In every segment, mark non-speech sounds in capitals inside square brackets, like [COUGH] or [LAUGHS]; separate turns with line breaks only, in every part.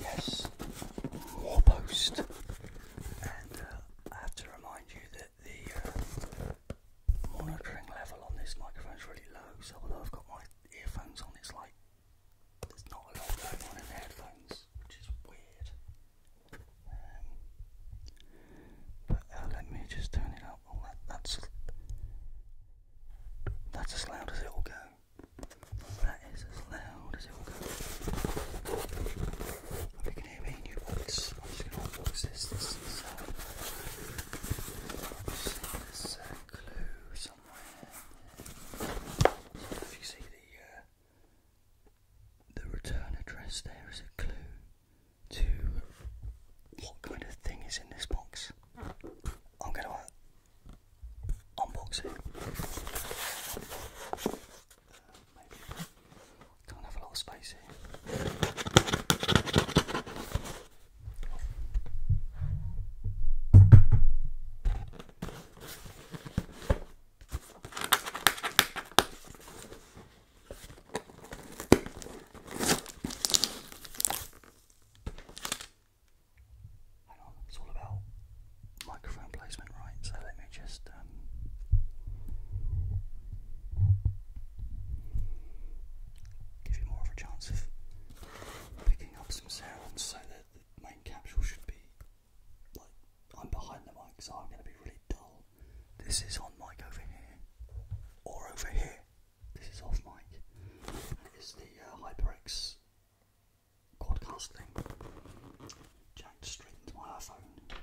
Yes, more post. And uh, I have to remind you that the uh, monitoring level on this microphone is really low, so although I've got my earphones on, it's like there's not a lot going on in the headphones, which is weird. Um, but uh, let me just turn it up. Oh, that, that's that's as loud as it will go. That is as loud as it will go. If you can hear me, new box. if you see the uh, the return address there is a clue to what kind of thing is in this box. I'm gonna uh, unbox it. don't have a lot space here it's all about microphone placement, right? So let me just. Um, give you more of a chance of picking up some sounds so the main capsule should be like I'm behind the mic, so I'm going to be really dull. This is on mic over here, or over here, this is off mic. It's the uh, HyperX podcast thing jacked straight into my iPhone. Straight in.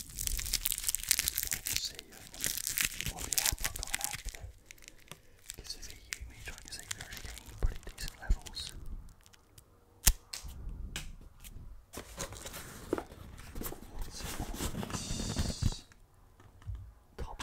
see what the app I've got an app that gives a view which I can see they're already getting pretty decent levels. What's Top.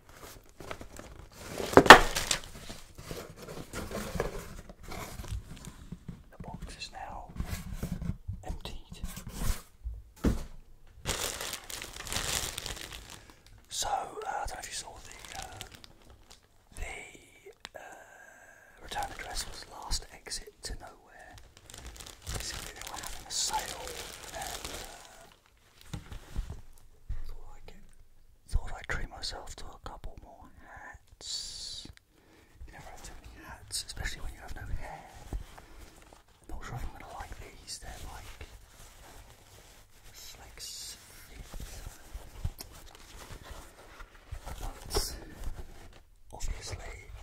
The box is now emptied. So, uh, I don't know if you saw the, uh, the uh, return address was last exit to nowhere. Basically, they were having a sale uh, Thought I would treat myself to a couple more hats. You never have too many hats, especially when you have no hair. Not sure if I'm gonna like these. They're like slick but obviously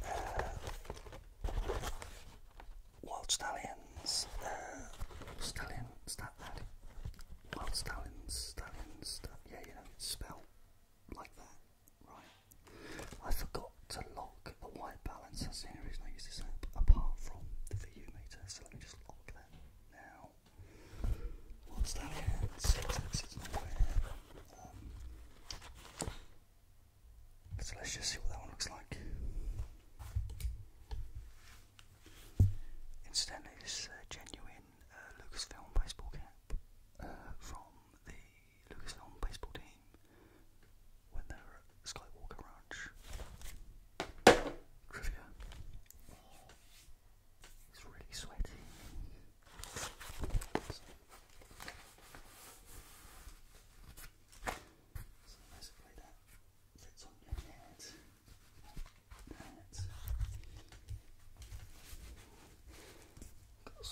uh, Wild Stallions, uh, Stallion, yeah, you know, it's like that, right? I forgot to lock the white balance, that's the only reason I apart from the VU meter, so let me just lock that now. Wild Stallions, um, so let's just see what that one looks like. Incidentally, this uh, genuine uh, Lucasfilm baseball cap uh, from the Lucasfilm baseball team when they were at Skywalker Ranch. Trivia. It's really sweaty. So, so basically, that Got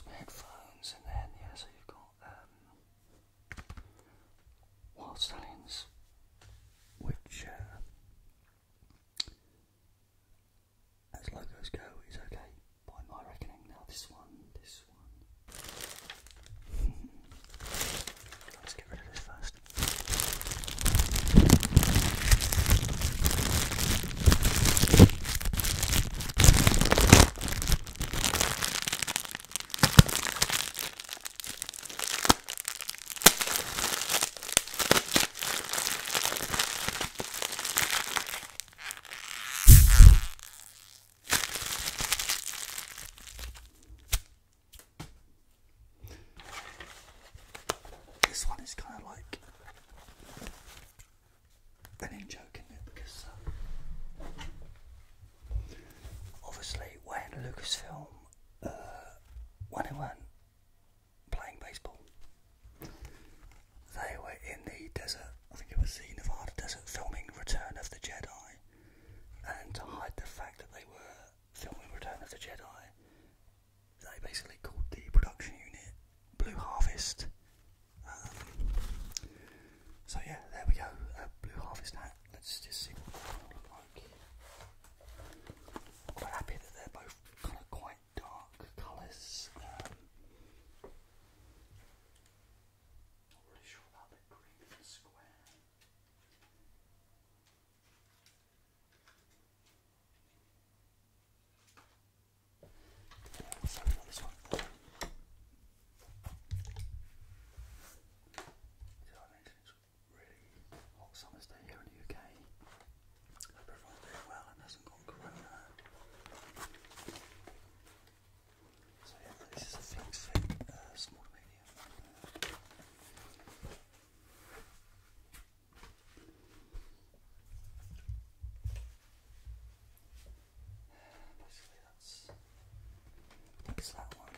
some headphones in there, yeah, so you've got um, Wild Stallions, which, uh, as logos go, is okay by my reckoning. Now, this one, this one, Let's get rid of this first. This one is kind of like an in joke, in not it? Because uh, obviously, when Lucasfilm, uh, when it playing baseball, they were in the desert. I think it was the Nevada desert, filming Return of the Jedi and to hide the fact that they were filming Return of the Jedi, they basically called the production unit Blue Harvest. Um, so yeah, there we go, Blue Harvest hat. Let's just see what it looks like. quite happy that they're both kind of quite dark colours. Um, not really sorry about this one. Did I mention it's really hot summer's day here in the UK? Hope everyone's doing well and hasn't gone corona. So yeah, this is a flex fit, uh, small to medium. Basically, that's that one.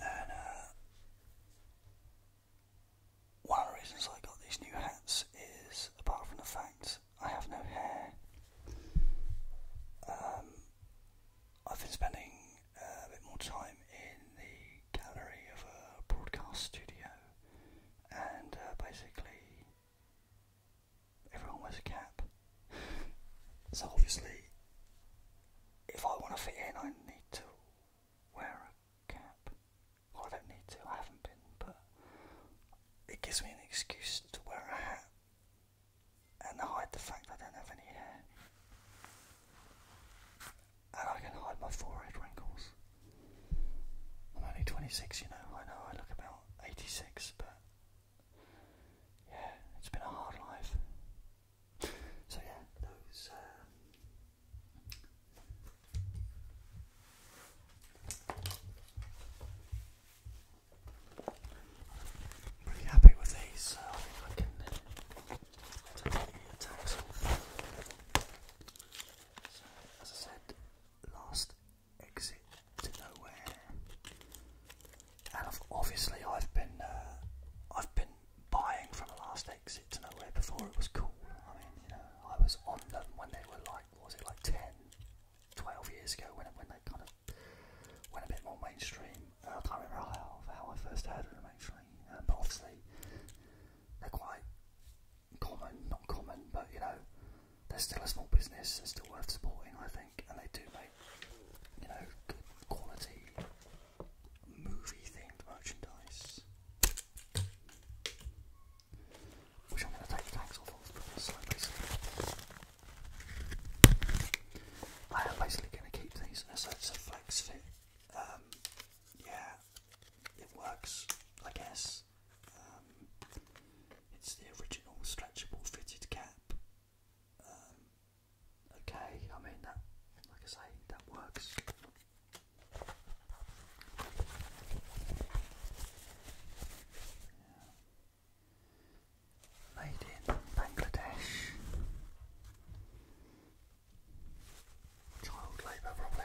Uh, one of the reasons I got these new hats is, apart from the fact I have no hair, um, I've been spending uh, a bit more time in the gallery of a broadcast studio and uh, basically everyone wears a cap. [LAUGHS] so obviously, if I want to fit in, I need to wear a cap. I don't need to, I haven't been, but it gives me an excuse to wear a hat and hide the fact I don't have any hair. And I can hide my forehead wrinkles. I'm only 26, you know, I know I look about 86, but yeah, it's been a hard life. So yeah, uh, pretty happy with these. So as I said last exit to nowhere. And I've, obviously, I've been uh, I've been buying from the last exit to nowhere before it was cool. I mean, you know, I was on them when they were like, what was it like 10, 12 years ago when when they kind of went a bit more mainstream. Uh, I can't remember how how I first heard of them actually, um, but obviously they're quite common, not common, but you know, they're still a small business and still worth supporting, I think, and they do make you know good quality movie themed merchandise. Which I'm going to take tags off of because i I am basically going to keep these as so it's a flex fit. Um, yeah, it works, I guess. Um, it's the original stretchable fitted cap. Um, okay, I mean that, like I say, that works. Made in Bangladesh. Child labour, probably.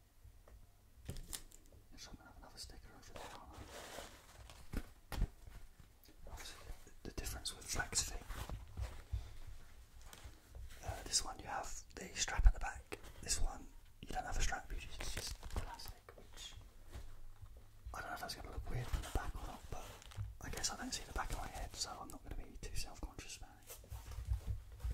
the, difference with flex uh, this one you have the strap at the back. This one you don't have a strap, it's just plastic, I don't know if that's going to look weird from the back or not, but I guess I don't see the back of my head, so I'm not going to be too self conscious about it.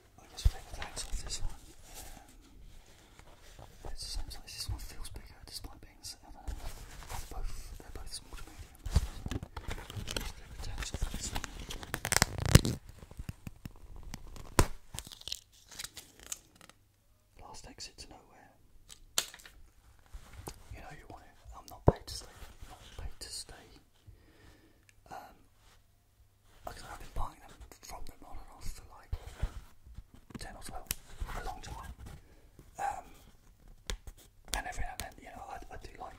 I just play the lights off this one. Um, it's essentially this one feels bigger despite being They're both they're both small Last exit to nowhere. You know you want it. I'm not paid to stay. not paid to stay. Um, because I've been buying them from them on and off for like 10 or 12, a long time. Um, and every now and you know, I, I do like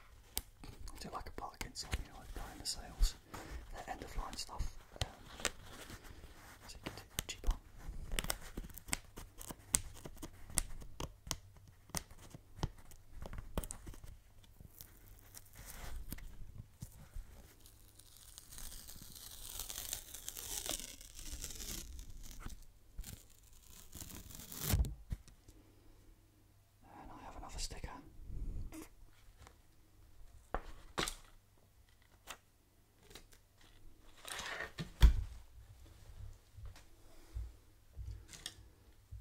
do like a Parkinson, you know, I buy in the sales, the uh, end of line stuff. Um, so you get it cheaper. And I have another sticker.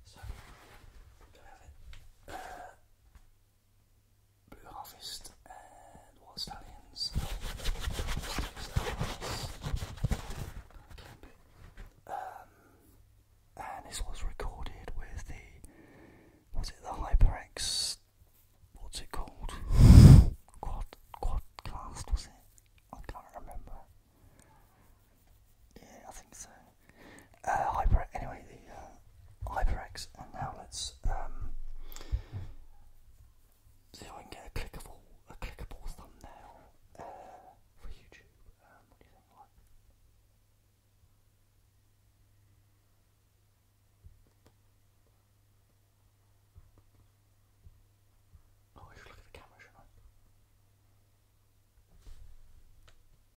So, do I have it? Blue Harvest and Wild Stallions. Um, and this was recorded with the, was it the HyperX, what's it called? Quad, Quadcast was it? I can't remember. Yeah, I think so uh, HyperX. Anyway, the uh, HyperX, and now let's um, see if I can get a clickable, a clickable thumbnail uh, for YouTube. Um, what oh, I look at the camera,